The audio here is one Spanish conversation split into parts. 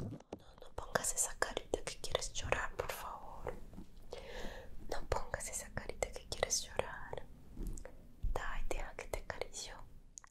no pongas esa carita que quieres llorar, por favor. No pongas esa carita que quieres llorar. Ay, deja que te acaricio.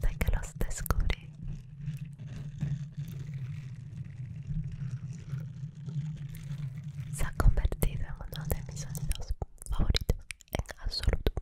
Desde que los descubrí, se ha convertido en uno de mis sonidos favoritos en absoluto.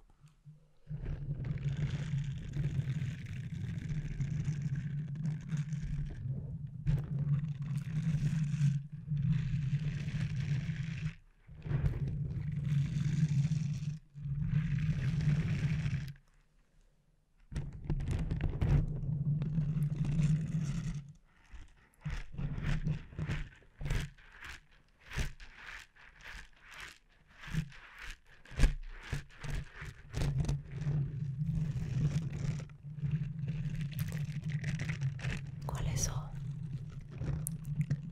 ¿Cuáles son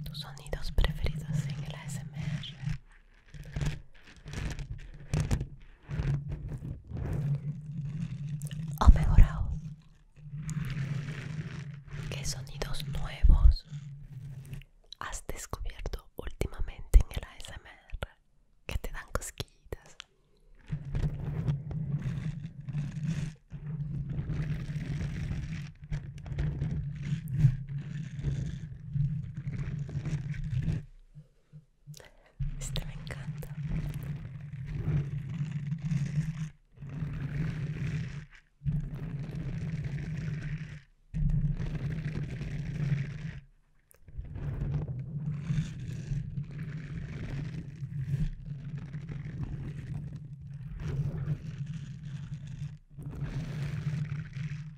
tus sonidos preferidos en el ASMR? o mejorado qué sonidos nuevos has descubierto últimamente en el ASMR que te dan cosquillas? Este me encanta.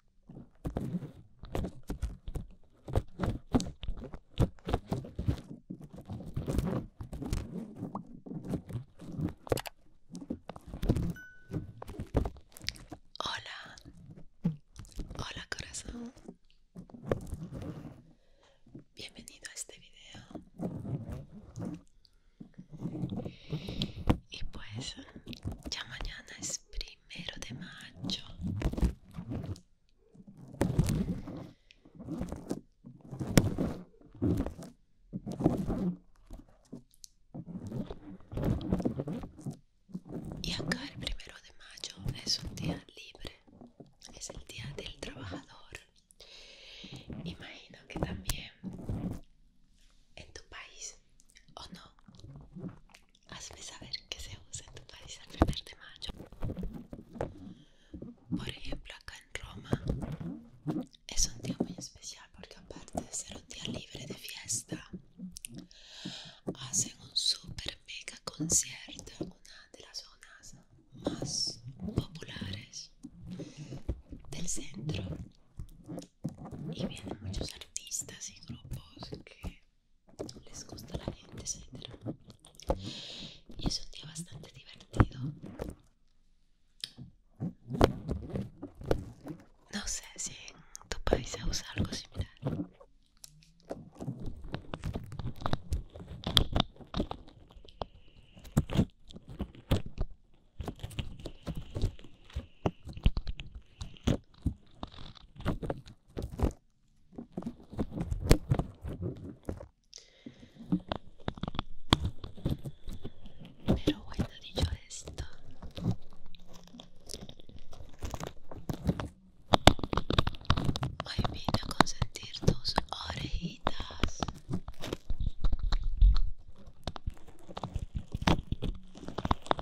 Hola, hola corazón, bienvenido a este video. Y pues ya mañana es primero primero de mayo. Y acá el primero de mayo es un día libre, es el día del trabajador. Imagino que también en tu país, ¿o no? Hazme saber que se usa en tu país el primer de mayo. Por ejemplo, acá en Roma es un día muy especial porque aparte de ser un día libre de fiesta, hacen un super mega concierto en una de las zonas más populares del centro y vienen muchos artistas y grupos que les gusta la gente, etc. Y es un día bastante divertido. No sé si en tu usar algo similar. Pero bueno, dicho esto, hoy vine a consentir tus orejitas.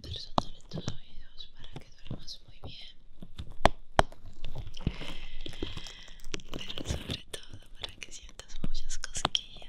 personal en tus oídos para que duermas muy bien pero sobre todo para que sientas muchas cosquillas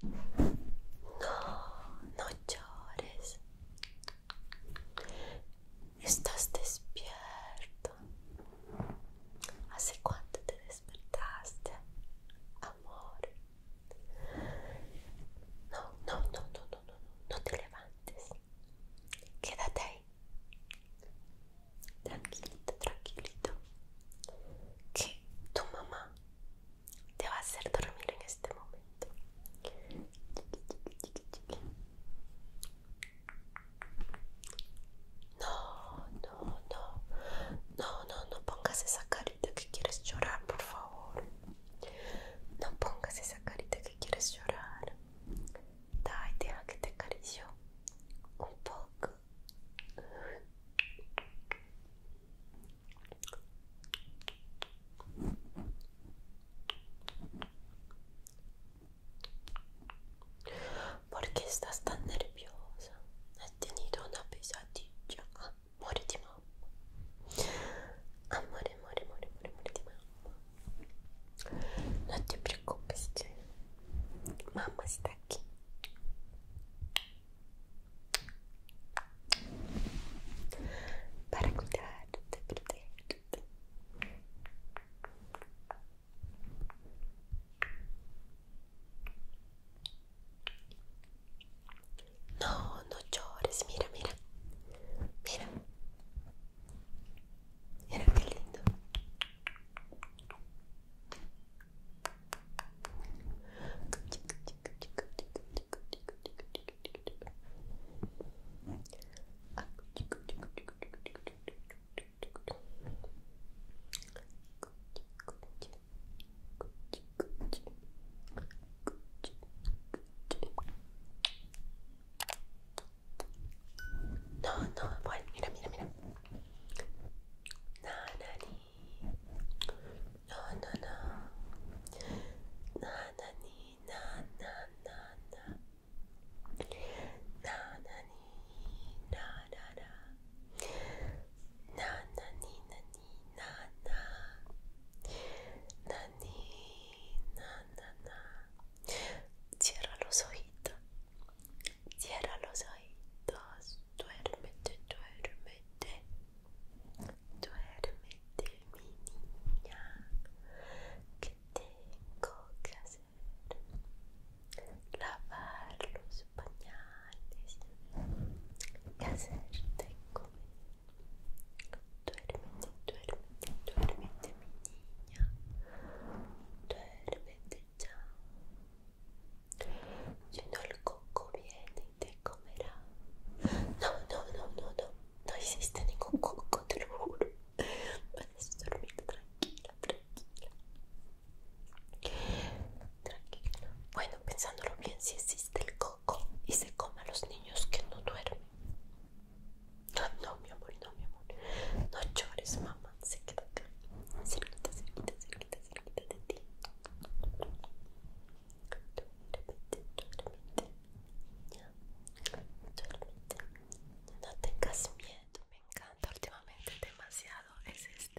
No, no llores. Estás despierto. ¿Hace cuánto te despertaste, amor? No, no, no, no, no, no, no te levantes. Quédate ahí. Tranquilito, tranquilito. Que tu mamá te va a hacer dormir en este momento. No, no, no, no, no, no pongas esa carita que quieres llorar, por favor. No pongas esa carita que quieres llorar. Dai, deja que te acaricio un poco. Porque qué estás tan nerviosa? ¿Has tenido una pesadilla? Ah, amore Amore, amore, No te preocupes, mamá está aquí para cuidarte, No, no llores, mira, mira, mira, mira qué lindo. No, no, bueno, mira, mira, mira. Nanani. No, no, no. Nana ni, na, na, na, na. Nana ni, na, na, na. Nana ni, na, ni, na, na. Nani, na, na, na. Cierra los ojitos. Cierra los ojitos. Duérmete, duérmete. Duérmete, mi niña, que tengo que hacer lavar los pañales y hacerte comer. Duérmete, duérmete, duérmete, mi niña, duérmete ya. Si no, el coco viene te comerá. No, no, no, no, no. No existe ningún coco, te lo juro. Puedes dormir tranquila, tranquila. Tranquila. Bueno, pensándolo bien, si existe el coco y se come a los niños que no duermen. No, no, mi amor, no, mi amor. No llores, mamá. Se queda acá. Cerquita, cerquita, cerquita, cerquita de ti. No tengas miedo, me encanta últimamente demasiado es este.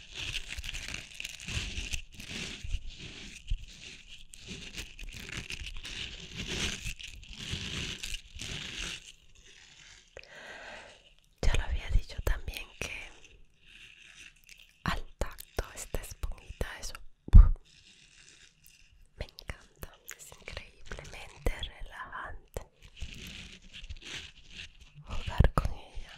Ya lo había dicho también que al tacto esta esponjita eso me encanta, es increíblemente relajante jugar con ella.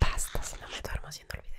Basta, si no me duermo haciendo el video.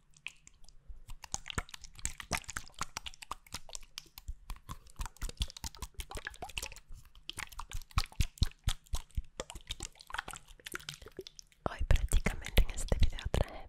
Hoy prácticamente en este video traje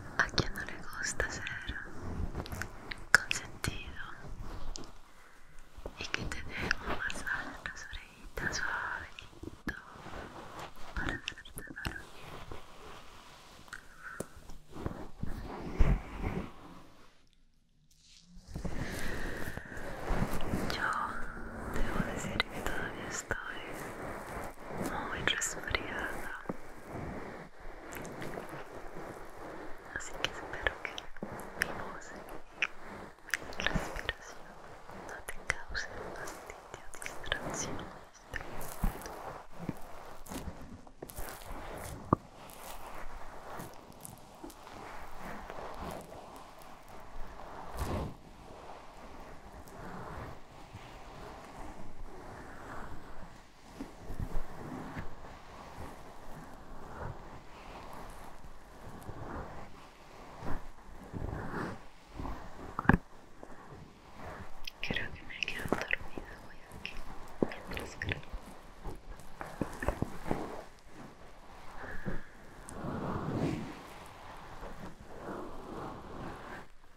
a quien no le gusta ser consentido y que te dé un masaje en las orejitas suavecito para hacerte calor. Yo debo decir que todavía estoy muy resfriada así que espero que mi voz y mi respiración no te causen fastidio distracciones Creo que me quedo dormido, dormida hoy aquí mientras creo.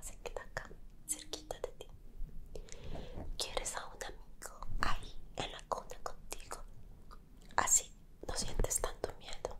se queda acá, cerquita de ti. ¿Quieres a un amigo ahí en la cuna contigo? Así no sientes tanto miedo.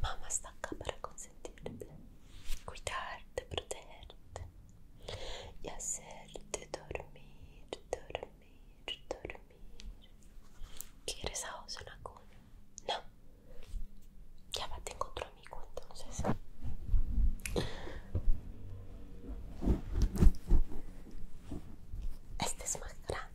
Mamá está acá para consentirte, cuidarte, protegerte y hacerte dormir, dormir, dormir. ¿Quieres a una cuna? No. Ya va, tengo otro amigo entonces. Este es más grande.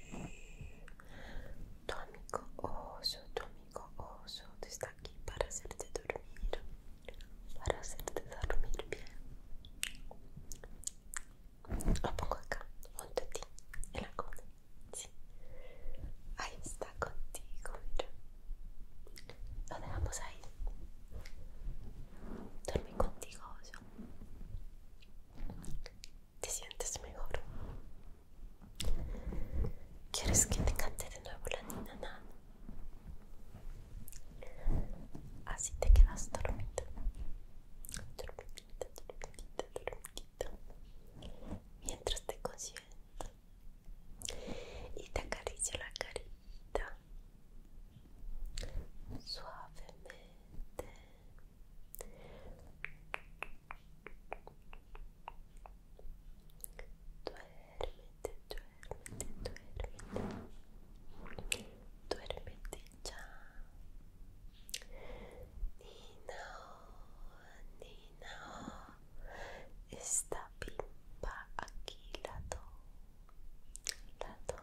Tu amigo oso, tu amigo oso está aquí para hacerte dormir, para hacerte dormir bien. Lo pongo acá, junto a ti, en la cama Ahí está contigo, mira. dejamos ahí. Dormí contigo, oso. ¿Te sientes mejor? ¿Quieres que te cante de nuevo la nina Así te quedas dormida. Dormidita, dormidita, dormidita. Mientras te consiento. Y te acaricio la carita. Suavemente duerme, duerme, duerme y ya. Nina, no Esta pimpa aquí Lado Lado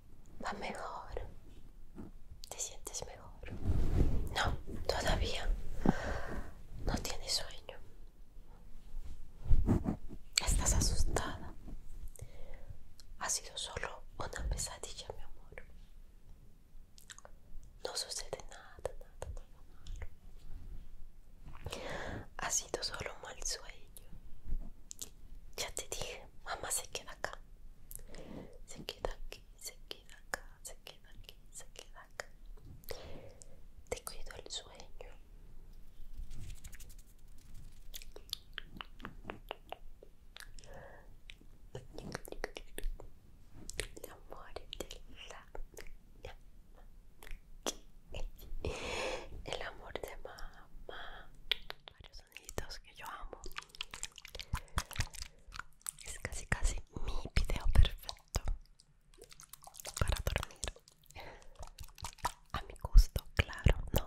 va mejor. ¿Te sientes mejor? No, todavía no tienes sueño. Estás asustada. Ha sido solo una pesadilla, mi amor. No sucede nada, nada, nada malo. Ha sido solo un mal sueño. Ya te dije, mamá se queda acá se queda aquí, se queda acá, se queda aquí, se queda acá. Te cuido el sueño. El amor de mamá que yo amo. Es casi casi mi video perfecto para dormir. A mi gusto, claro, no.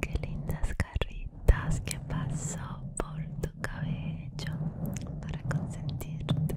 Qué lindas carritas que pasó por tu cabello para consentirte.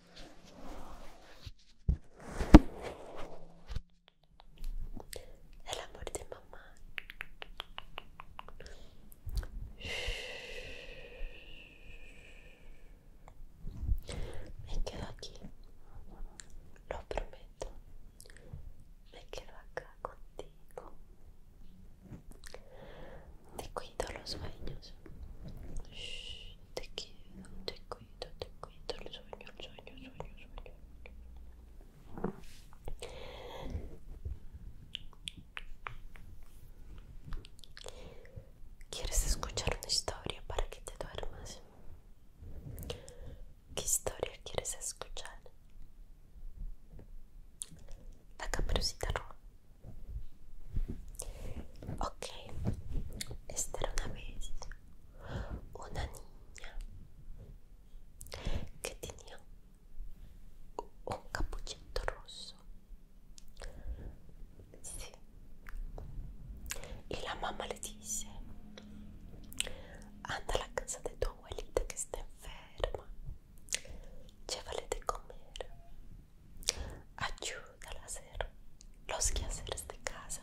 El amor de mamá. Me quedo aquí. Lo prometo. Me quedo acá contigo. Te cuido los sueños. Te quiero, te Cuidado, te el sueño, el sueño, sueño, sueño. ¿Quieres escuchar una historia para que te duermas? ¿Qué historia quieres escuchar? La caperucita roja. Ok, era una vez una niña que tenía un capuchito rosso Y la mamá le dice, anda a la casa de tu abuelita que está enferma, llévale de comer ayúdala a hacer los quehaceres de casa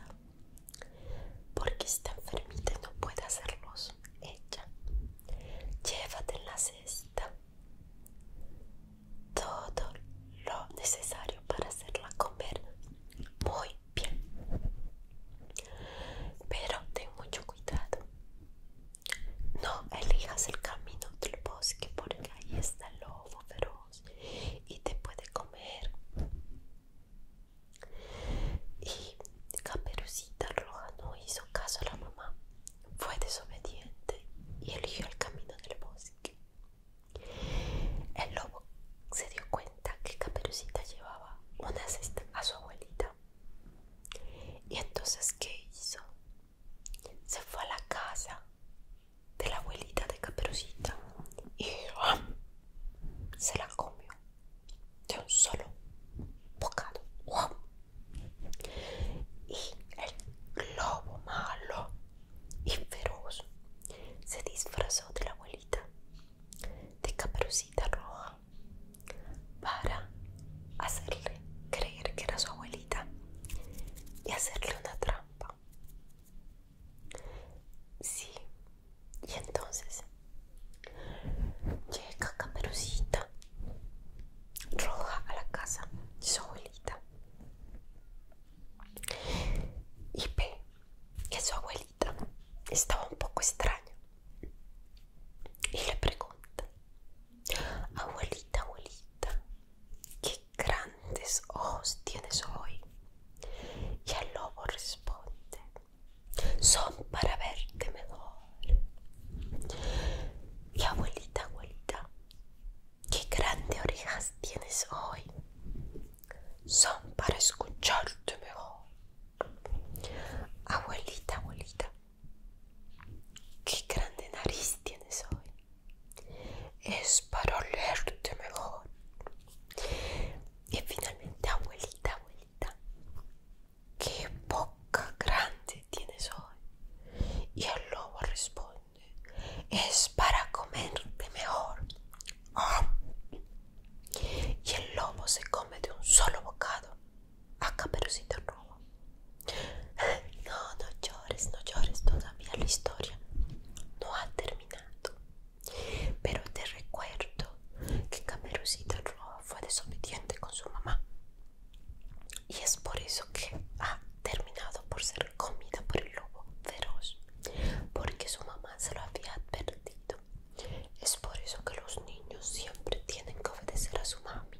porque está enfermita no puede hacerlos ella llévate en la cesta todo lo necesario para hacerla comer muy bien pero ten mucho cuidado no elijas el camino del bosque porque ahí está el lobo feroz y te puede comer. Y Caperucita Roja no hizo caso a la mamá, fue desobediente y eligió el camino del bosque. El lobo se dio cuenta que Caperucita llevaba una cesta a su abuelita. ¿Y entonces qué hizo? Se fue a la casa de la abuelita de Caperucita y ¡ah! se la comió de un solo bocado. ¡Ah! Y el globo malo y feroz se disfrazó de la abuelita de Caperucita Roja para hacerle creer que era su abuelita y hacerle una trampa Sí. Y entonces llega Caperucita roja a la casa de su abuelita. Y ve que su abuelita estaba un poco extraña. Y le pregunta, abuelita, abuelita, qué grandes ojos tienes hoy. Y el lobo responde, son para verte mejor. Y abuelita, abuelita, qué grandes orejas tienes hoy. Son para escucharte mejor. Abuelita, abuelita, qué grande nariz tienes hoy. Es para olerte mejor. Y finalmente, abuelita, abuelita, qué boca grande tienes hoy. Y el lobo responde, es para comerte mejor. Ah. Y el lobo se come de un solo bocado a Caperucita Roja. No, no llores, no llores todavía la historia. No ha terminado. Pero te recuerdo que Camerucita Roja fue desobediente con su mamá. Y es por eso que ha terminado por ser comida por el lobo feroz. Porque su mamá se lo había advertido. Es por eso que los niños siempre tienen que obedecer a su mami.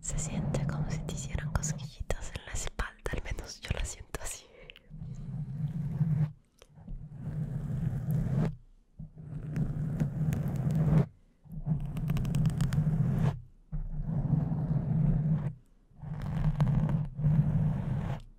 Se siente como si te hicieran cosquillitas en la espalda, al menos yo la siento así.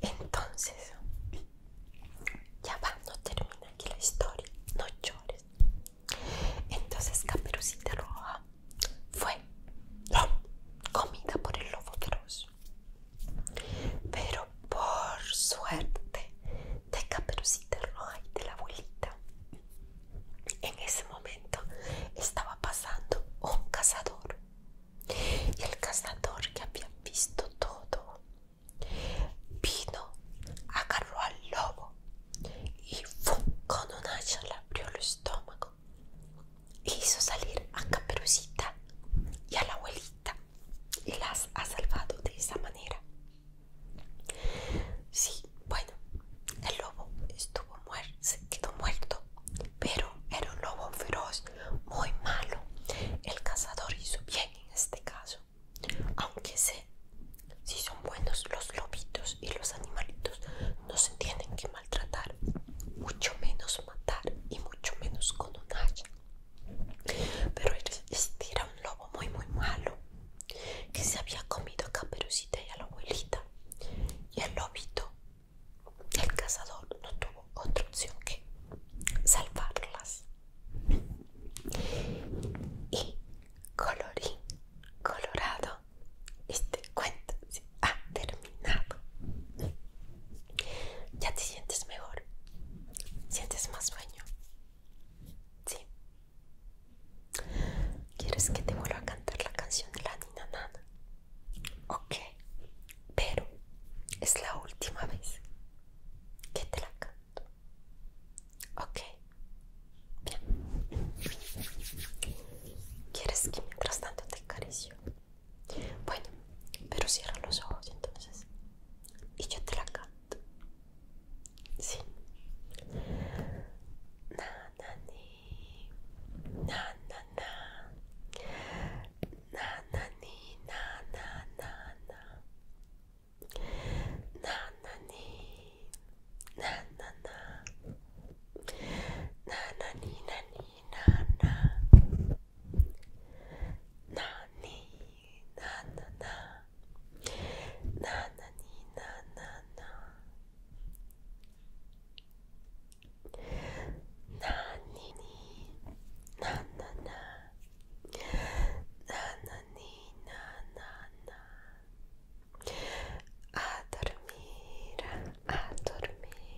Entonces, ya va, no termina aquí la historia, no llores. Entonces, Caperucita Roja fue comida por el lobo feroz. Pero por suerte de Caperucita Roja y de la abuelita, en ese momento estaba pasando un cazador. Y el cazador que había visto todo vino, agarró al lobo y con un hacha le abrió el estómago y hizo salir a Caperucita y a la abuelita y las ha salvado de esa manera. Sí, bueno, el lobo estuvo muerto, se quedó muerto, pero era un lobo feroz, muy malo. El cazador hizo bien en este caso, aunque sé si son buenos los lobitos y los animalitos, no se tienen que maltratar, mucho menos matar y mucho menos con un hacha. Pero era un lobo muy muy malo que se había comido a Caperucita y a la abuelita. Y el lobito, el cazador, no tuvo otra opción que salvarlas. Y colorín colorado, este cuento ha terminado. ¿Ya te sientes mejor? ¿Sientes más sueño? Sí. ¿Quieres que te vuelva a cantar la canción de la Nina Nana? Ok, pero es la última vez que te la canto. Ok, bien. ¿Quieres que mientras tanto te acaricio? Bueno, pero cierra los ojos entonces. Y yo te la canto. Sí. Na, na, ni. Na, na, na. Na, na, ni. Na, na na ni na na na na na ni na na na na ni na na na na na a dormir dormir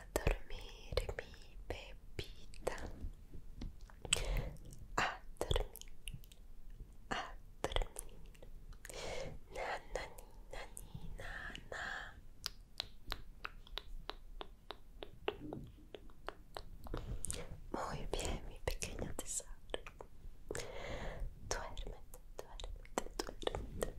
a dormirmi, bebita, a dormir, a dormir, na na ni na na na. Muy bien, mi pequeño tesoro. Duérmete, duérmete, duérmete,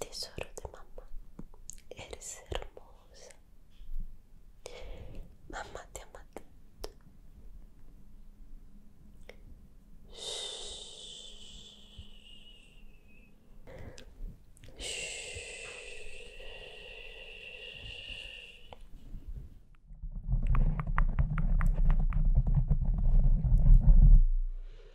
Tesoro di mamma, eres hermosa. Mamma ti ama tanto. Shhh. Shhh. Shhh.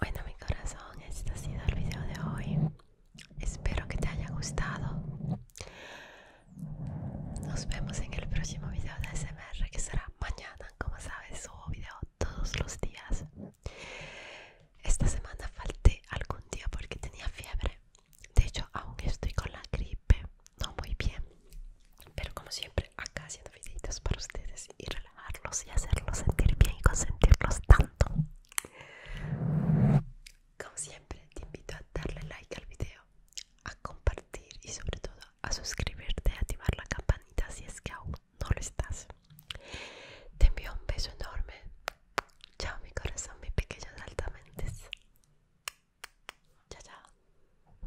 Bueno mi corazón, este ha sido el video de hoy. Espero que te haya gustado. Nos vemos en el próximo video de SMR que será mañana. Como sabes, subo video todos los días. Esta semana falté algún día porque tenía fiebre. De hecho, aunque estoy con la gripe. No muy bien. Pero como siempre, acá haciendo videitos para ustedes y relajarlos y hacerlos sentir bien y consentirlos tanto. Como siempre, te invito a darle like al video, a compartir y sobre todo a suscribirte, y activar la campanita si es que aún no lo estás. Te envío un beso enorme. Chao mi corazón, mis pequeños altamente. Chao, chao.